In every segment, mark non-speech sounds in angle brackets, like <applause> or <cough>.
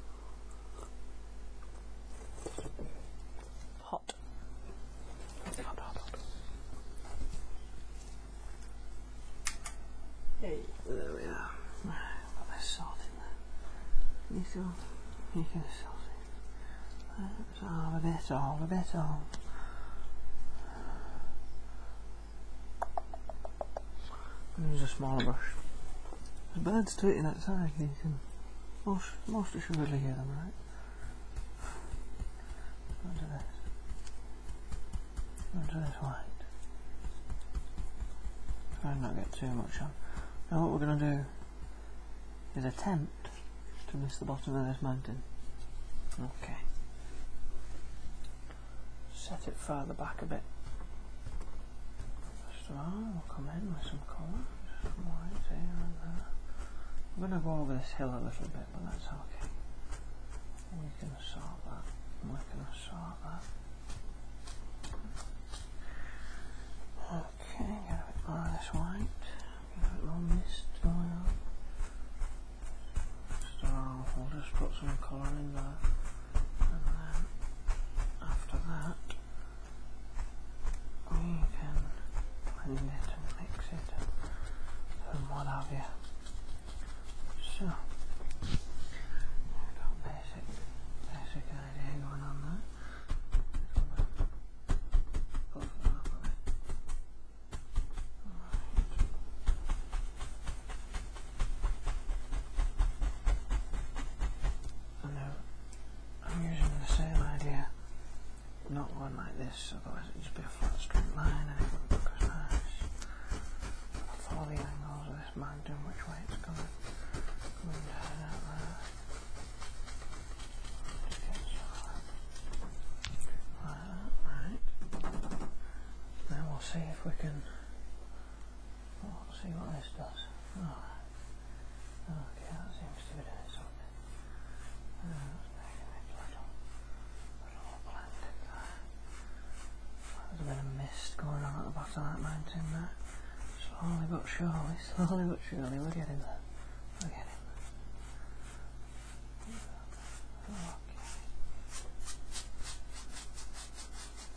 Hot. Hot, hot, hot. Hey, there we are. Put my salt in there. You still, you can salt it. That's all, a bit all, a bit all use a smaller brush. There's birds tweeting outside, you can most, most assuredly hear them, right? Under this. Under this white. Try not get too much on. Now what we're going to do is attempt to miss the bottom of this mountain. Okay. Set it further back a bit. First of oh, we'll come in with some colour, some white here and there. I'm going to go over this hill a little bit, but that's okay. We can sort that. We can sort that. Okay, get a bit more of this white. Get a bit more mist going on. So we'll just put some colour in there. And then after that, you can blend it and mix it and what have you. So, basic, basic idea going on there. I uh, I'm using the same idea, not one like this, otherwise it'd just be a flat straight line and look as nice. I'll follow the angles of this mountain, which way it's going. coming down out there. Like that, right. Then we'll see if we can see what this does. Okay, that seems to be doing something. There's a bit of mist going on at the bottom of that mountain there. Slowly but surely, <laughs> slowly but surely, we're getting there. We're getting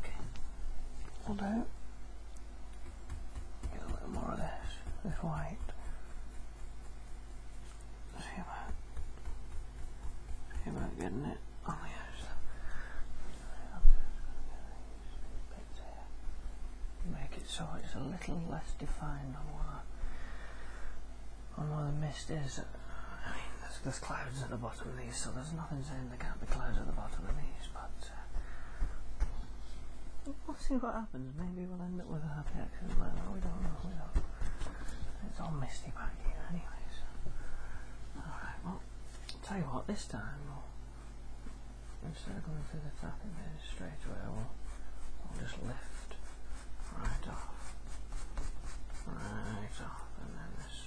Okay. I'll do. Get a little more of this, this white. See about, see about getting it on the edge. Make it so it's a little less defined on what, on what the mist is. I mean, there's, there's clouds at the bottom of these, so there's nothing to they can't be clouds at the bottom of these, but uh, we'll see what happens. Maybe we'll end up with a happy accident We don't know. It's all misty back here, anyways. Alright, well, I'll tell you what, this time we'll, instead of going through the and bit straight away, we'll, just lift right off. Right off, and then this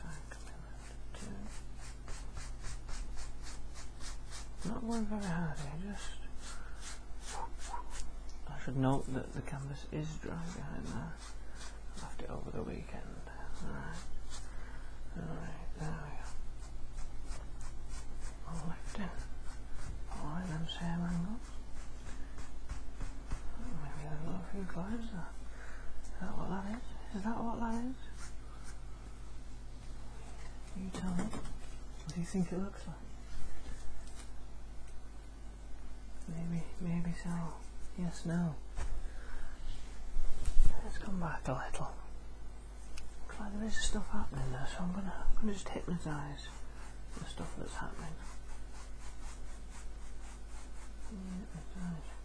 not work very hard just... I should note that the canvas is dry behind that. I left it over the weekend. Alright. Alright, there we go. All left in. All them same angles. Maybe a little few clouds there. Is that what that is? Is that what that is? You tell me. What do you think it looks like? Maybe, maybe so. Yes, no. Let's come back a little. Looks like there is stuff happening there, so I'm gonna, I'm gonna just hypnotise the stuff that's happening. Hypnotise.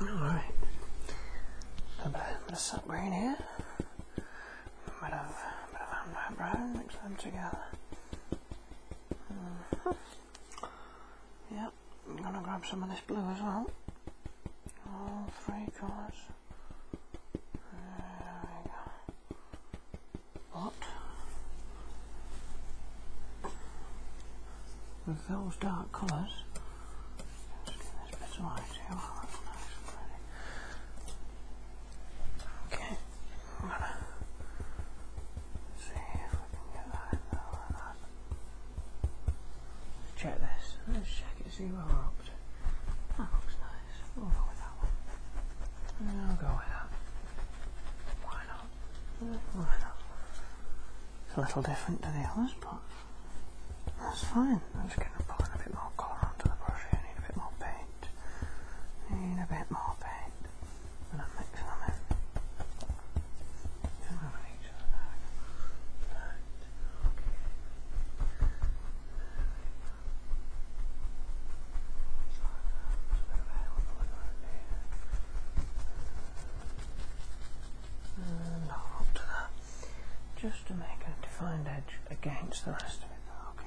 Alright. I'm gonna sub green here. A bit of, a bit of mix them together. Mm-hmm. Yep, I'm gonna grab some of this blue as well. All three colours. There we go. What? With those dark colors okay, see if we can get that check this. Let's check it, see where we're up to. That looks nice. We'll go with that one. I'll go with that. Why not? It's a little different to the others, but that's fine. I'm just going to put in a bit more colour onto the brush I need a bit more paint. I need a bit more paint. And I'm mixing them in. And just to make a defined edge against the rest of it. Okay,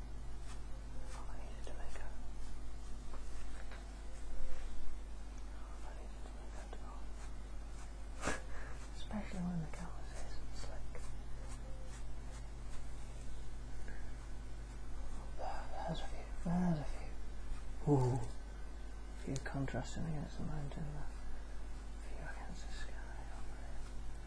if I needed to make a if I needed to make that go. Especially when the canvas isn't slick. There, there's a few, there's a few. Ooh. A few contrasting against the mountain there. A few against the sky over here.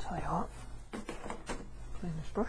Tell you what, clean this brush.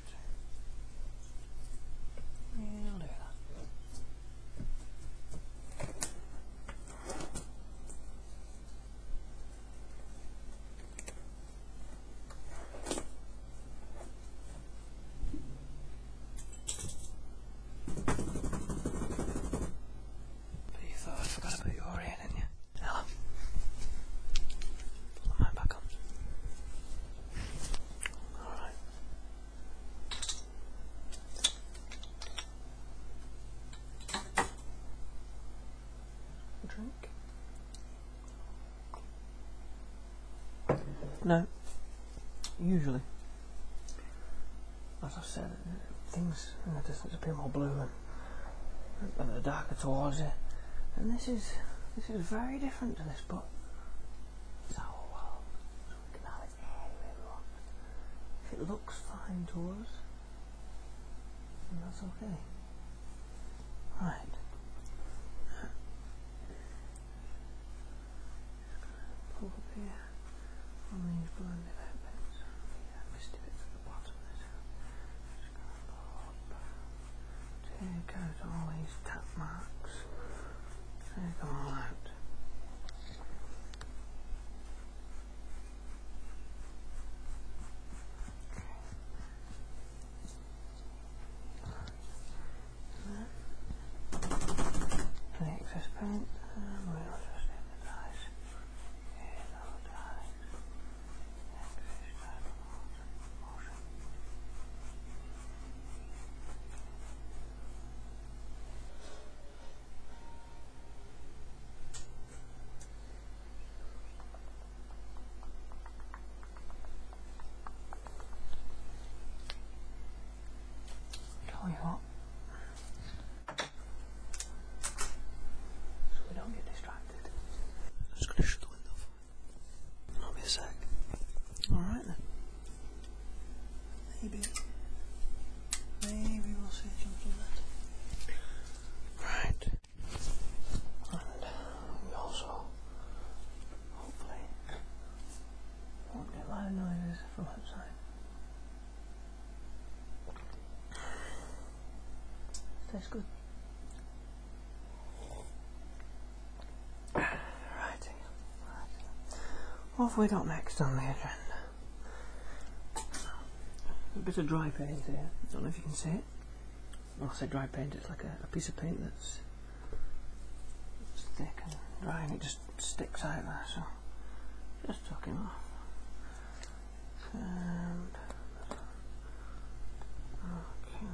you thought I forgot to put your in, didn't you? Hello. Put back on drink? No. Usually, as I said, things in the distance appear more blue and, and the darker towards it. And this is this is very different to this, but so, um, we can have it any we want. If it looks fine to us, then that's okay. Right. Pull up here on these blended out bits. Yeah, I missed a bit the bottom there. Take out all these tap marks. Take them all out. paint and we'll just hypnotize hypnotize Tell you what. So we don't get distracted. I'm just to shut the window I'll be a sec. Alright then. Maybe. Maybe we'll see something Right. And uh, we also hopefully won't get loud noises from outside. Tastes good. Right. What have we got next on the agenda? A bit of dry paint here. I don't know if you can see it. When I say dry paint, it's like a, piece of paint that's, thick and dry and it just sticks out there, so just tucking off. okay, oh,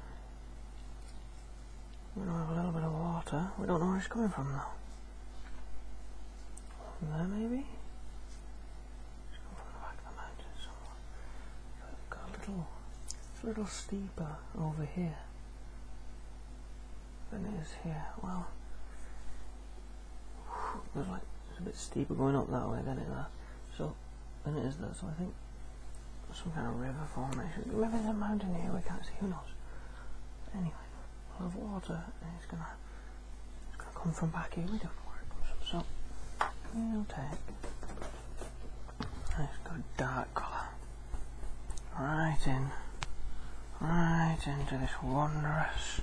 We don't have a little bit of water. We don't know where it's coming from though. there maybe? from the back of the mountain somewhere. Got a little, it's a little steeper over here than it is here. Well, it's a bit steeper going up that way than it is. Uh, so then it is that, so I think some kind of river formation. Maybe there's a mountain here we can't see, who knows. Anyway, a lot of water it's gonna it's gonna come from back here, we don't know where it comes from. So we'll take a nice good dark colour. Right in right into this wondrous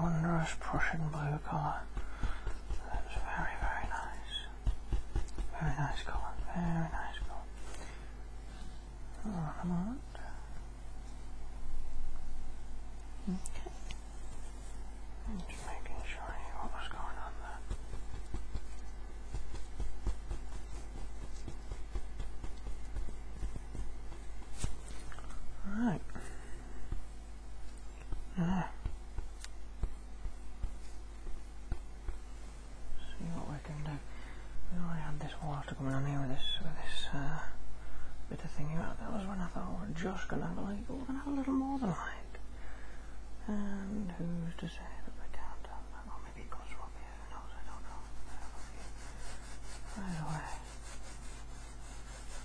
wondrous Prussian blue colour. That's very, very nice. Very nice colour, very nice colour. Alright, I'm alright. Okay. I'm just making sure I knew what was going on there. Right. See what we can do. We already had this water coming on here with this with this bit uh, of thingy. That was when I thought we oh, we're just gonna have we're gonna have a little more than light. And who's to say that we can't have maybe it comes from Who knows? I don't know. Right away.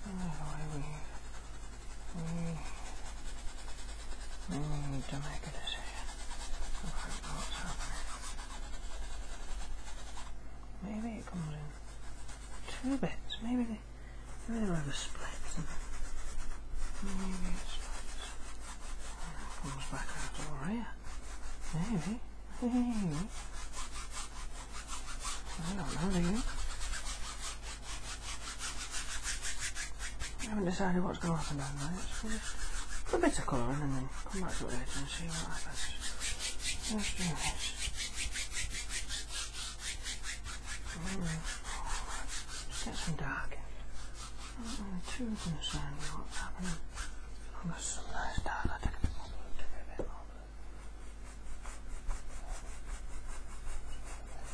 Right away we we, need to make a decision Maybe it comes in two bits. Maybe they, maybe they're over splits. Maybe it splits. comes back out all right. Maybe. Maybe. I don't know, do I haven't decided what's going to happen now, right? a bit of colouring and then come back to it later and see what happens. get some dark I'm not too concerned with what's happening. I've got some nice dark.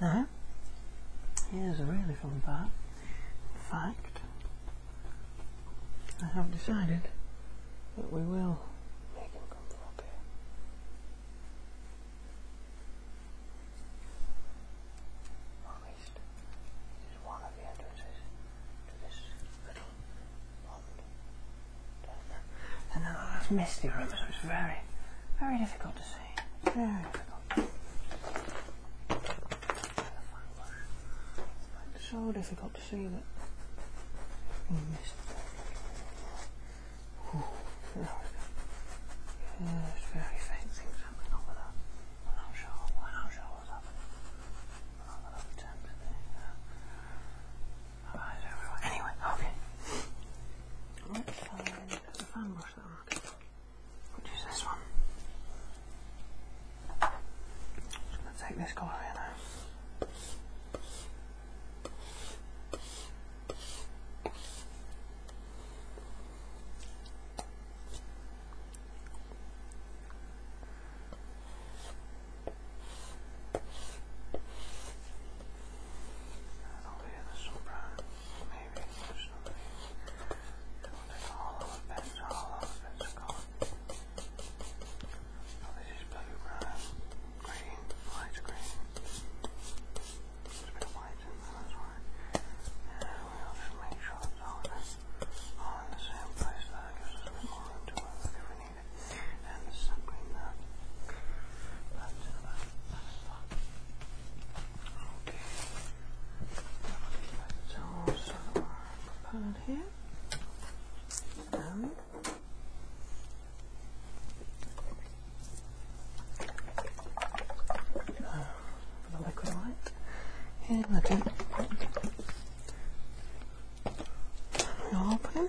Now, here's a really fun part. In fact, I have decided that we will make him come through up here. at least, one of the entrances to this little pond. And then I have misty room, so it's very, very difficult to see. Very difficult. so difficult to see that. Yeah, it's very faint things happening over there. I'm not sure. I'm not sure what's happening. I'm Anyway, okay. Let's find the fan brush that i Which is this one. I'm take this colour here now. I'll do the soprano, maybe there's somebody. That's all of it, that's all of it, that's gone. So this is blue, brown, green, light green. There's a bit of white in there, that's why. And we'll just make sure it's all in, the same place. That gives us a bit more it and the sun cream there. That's about Okay. That's also prepared here. Um, uh, the liquid light. Here, let it open.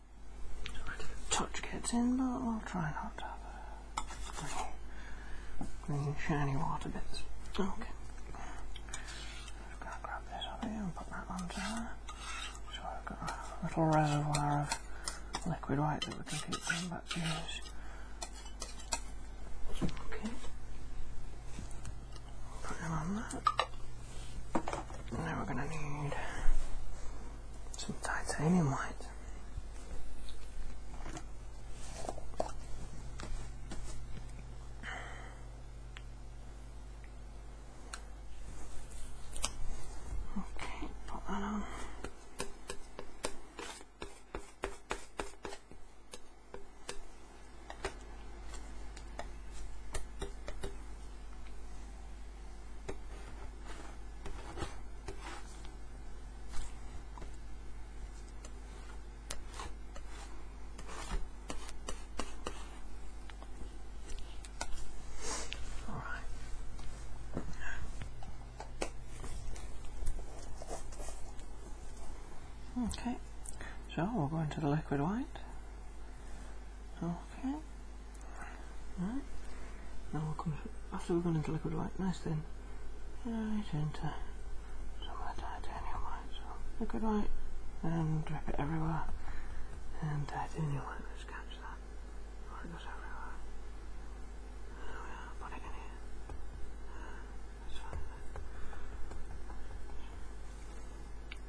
touch gets in, but I'll try not to have a green, shiny water bits. Okay. Just gonna grab this up here and put that onto So I've got a little reservoir of liquid white that we can keep going back to use. Okay. Put him on that. And we're going to need some titanium white. Okay, put that on. All right. Okay, so we'll go into the liquid white. Okay. Right. Now we'll come after we've gone into liquid white, nice thin. Right into some the titanium white. So liquid white and drip it everywhere. And titanium white, let's catch that. Before it everywhere. There we put it in here.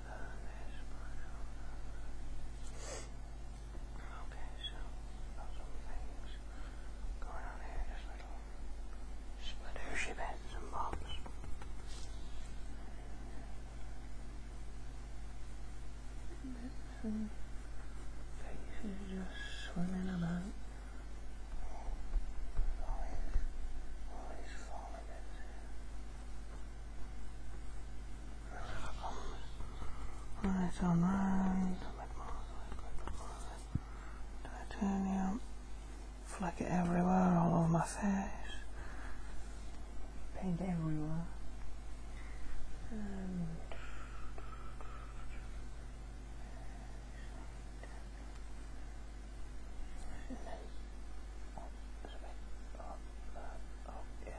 Okay, so got some things going on here, just little splatooshy bits and bobs. Bits faces just swimming about. All these, falling bits. Right on round, titanium, fleck it everywhere, all over my face, paint everywhere.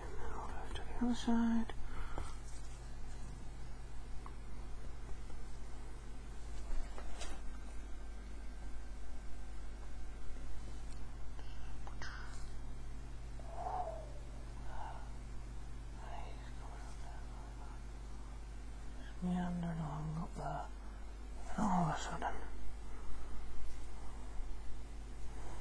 and then I'll move to the other side. meandered along up there, and all of a sudden,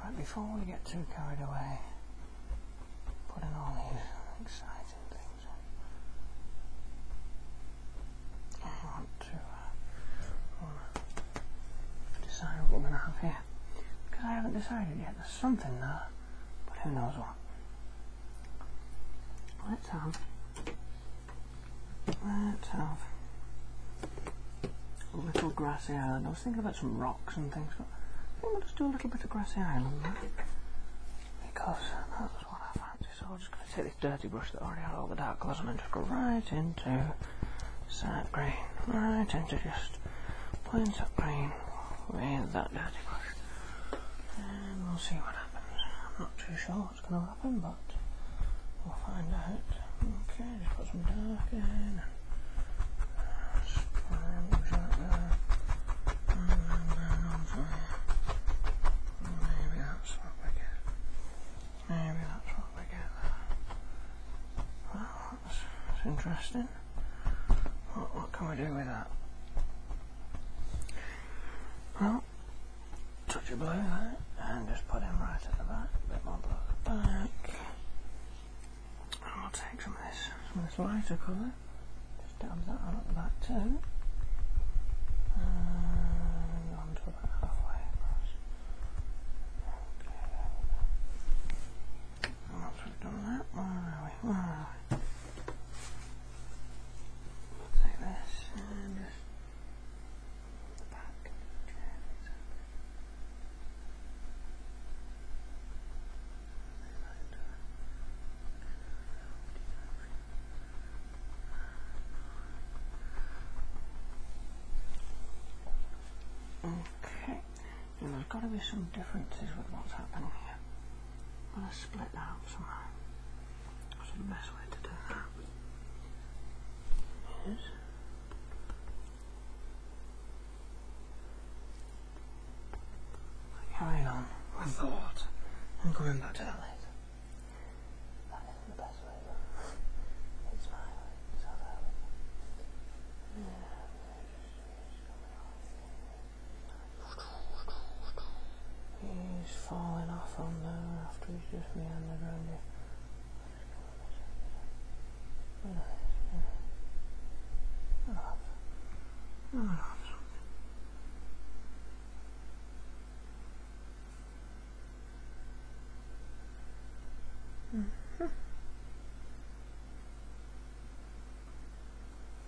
Right, before we get too carried away, putting all these exciting things I want to uh, oh, decide what we're going to have here. Because I haven't decided yet. There's something there, but who knows what. Let's have, let's have a little grassy island. I was thinking about some rocks and things, but I think we'll just do a little bit of grassy island Because that's what I fancy, so I'm just going to take this dirty brush that already had all the dark colours on and just go right into sap green, right into just plain sap green with that dirty brush. And um, we'll see what happens. I'm not too sure what's going to happen, but we'll find out. Okay, just put some dark in. Sponge out there. Maybe that's what we get. Maybe that's what we get Well, that's interesting. What, can we do with that? Well, touch of blue there, and just put him right at the back, a bit more blue at the back. And we'll take some of this, some of this lighter colour, just dab that on at the back too. And on about halfway Okay, there we have done that, Where are we? like this and just back. Okay, there's got to be some differences with what's happening here. I'm going to split that up somehow. the best way to do that is... Carrying on with thought and coming back to that later. Yeah. He's falling off on there after he's just meandered around here. Oh, Mm-hmm.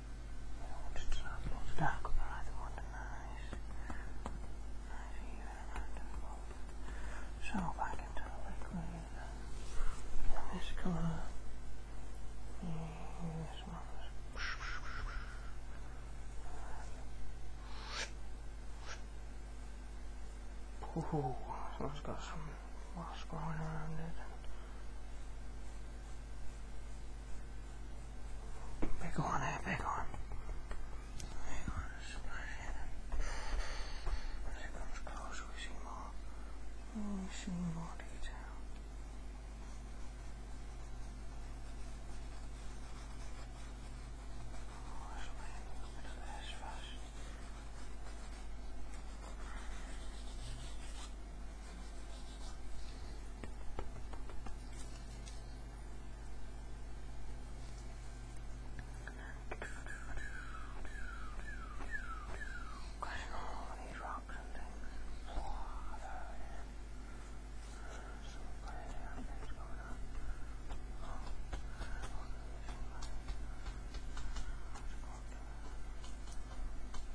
I wanted I don't want this colour. this one Ooh, has got some moss growing around it. Big one, there, back on. Hang eh? on, splash in. As closer, we see more. we see more detail. Cutting all these rocks and things. Oh, there it is. There's some crazy things going on. Oh, look at this.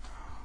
It's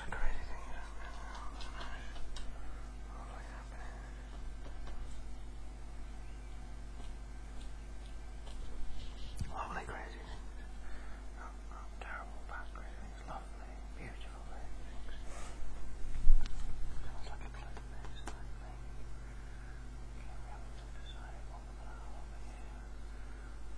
It's a Lovely crazy things. Not, terrible, bad crazy things. Lovely, beautiful crazy things. Sounds like a clue to this, like we haven't decided what we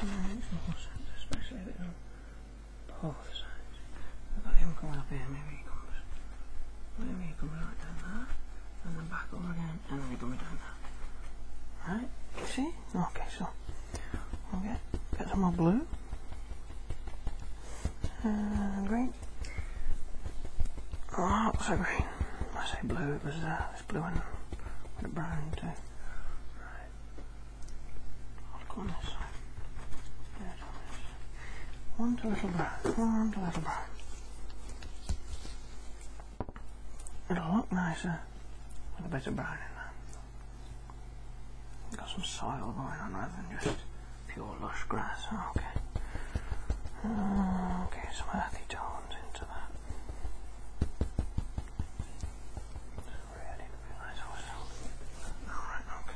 And especially if both sides. I've got him coming up here, maybe he comes, maybe he comes right down there, and then back over again, and then he comes down there. Right, see? Okay, so, I'll get, more blue, green. Oh, I say green, I say blue, it was uh, it's blue and a brown little brown, one little brown. It'll look nicer with a bit of brown in there. Got some soil going on rather than just pure lush grass. okay. Okay, some earthy tone bond Really nice Alright, okay.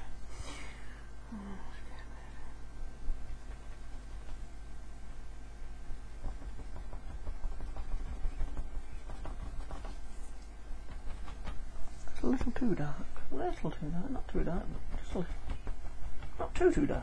It's a little too dark. A little too dark, not too dark, just a little. Not too too dark.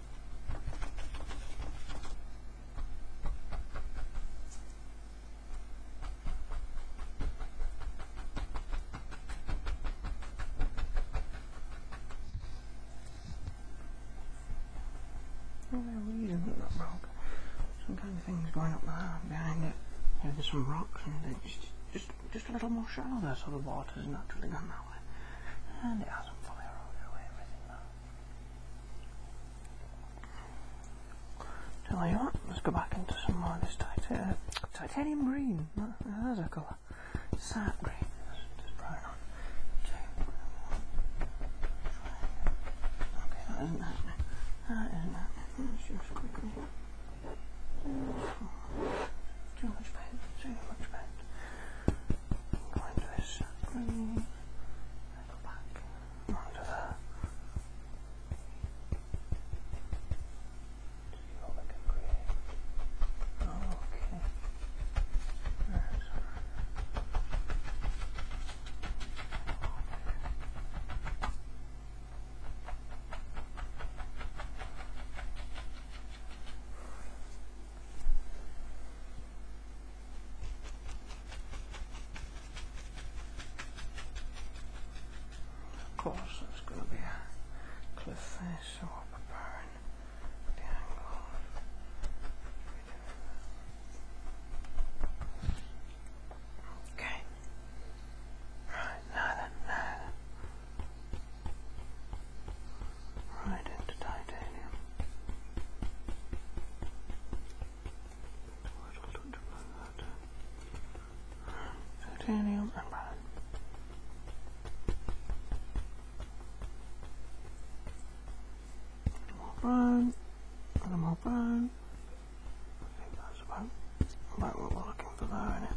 What are we doing that rock? Some kind of thing's going up there behind it. Yeah, there's some rocks and it's just, just, just a little more shallow there, so the water's naturally gone Tell you what, let's go back into some more of this uh, titanium green. There's a colour. Sap green. Just bright on. Okay, that isn't happening. That isn't happening. Let's just quickly. Too much paint, too much paint go into this under there see what we can okay There's okay of course, there's going to be a cliff face, so we're preparing Okay. Right, now then, right into titanium. Titanium and More brown, and more brown. I think that's about, about what we're looking for there, innit?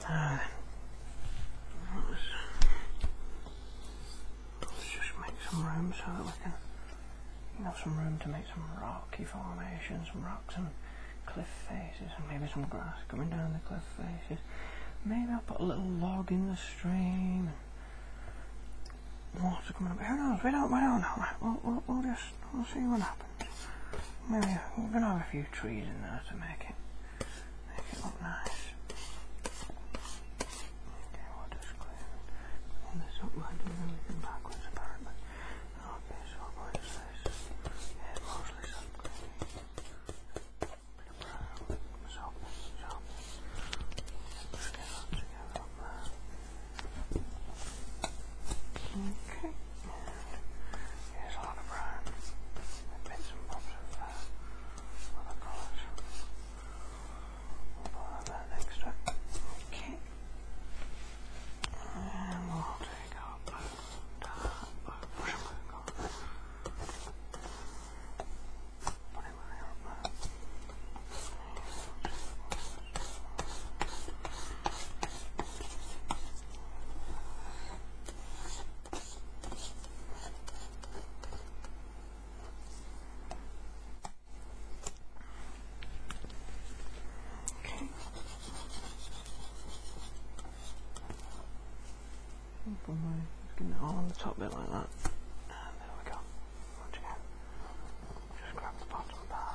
Let's just make some room so that we can have some room to make some rocky formations, some rocks and cliff faces, and maybe some grass coming down the cliff faces. Maybe I'll put a little log in the stream. water coming up. Who knows? We don't. We don't know. We'll, just we'll see what happens. Maybe we're gonna have a few trees in there to make it Make it look nice. Okay, we'll just clean this up by doing everything backwards apparently. Okay, so what is this? Yeah, mostly sun cleaning. Bit of Okay. Here's Lana Brown. bits and bobs of other colours. Oh we'll put that next Okay. And we'll take our blue, dark blue, blue Thank you. Okay. Oh my, just getting it all on the top bit like that. there we go. Once again, just grab the bottom bar.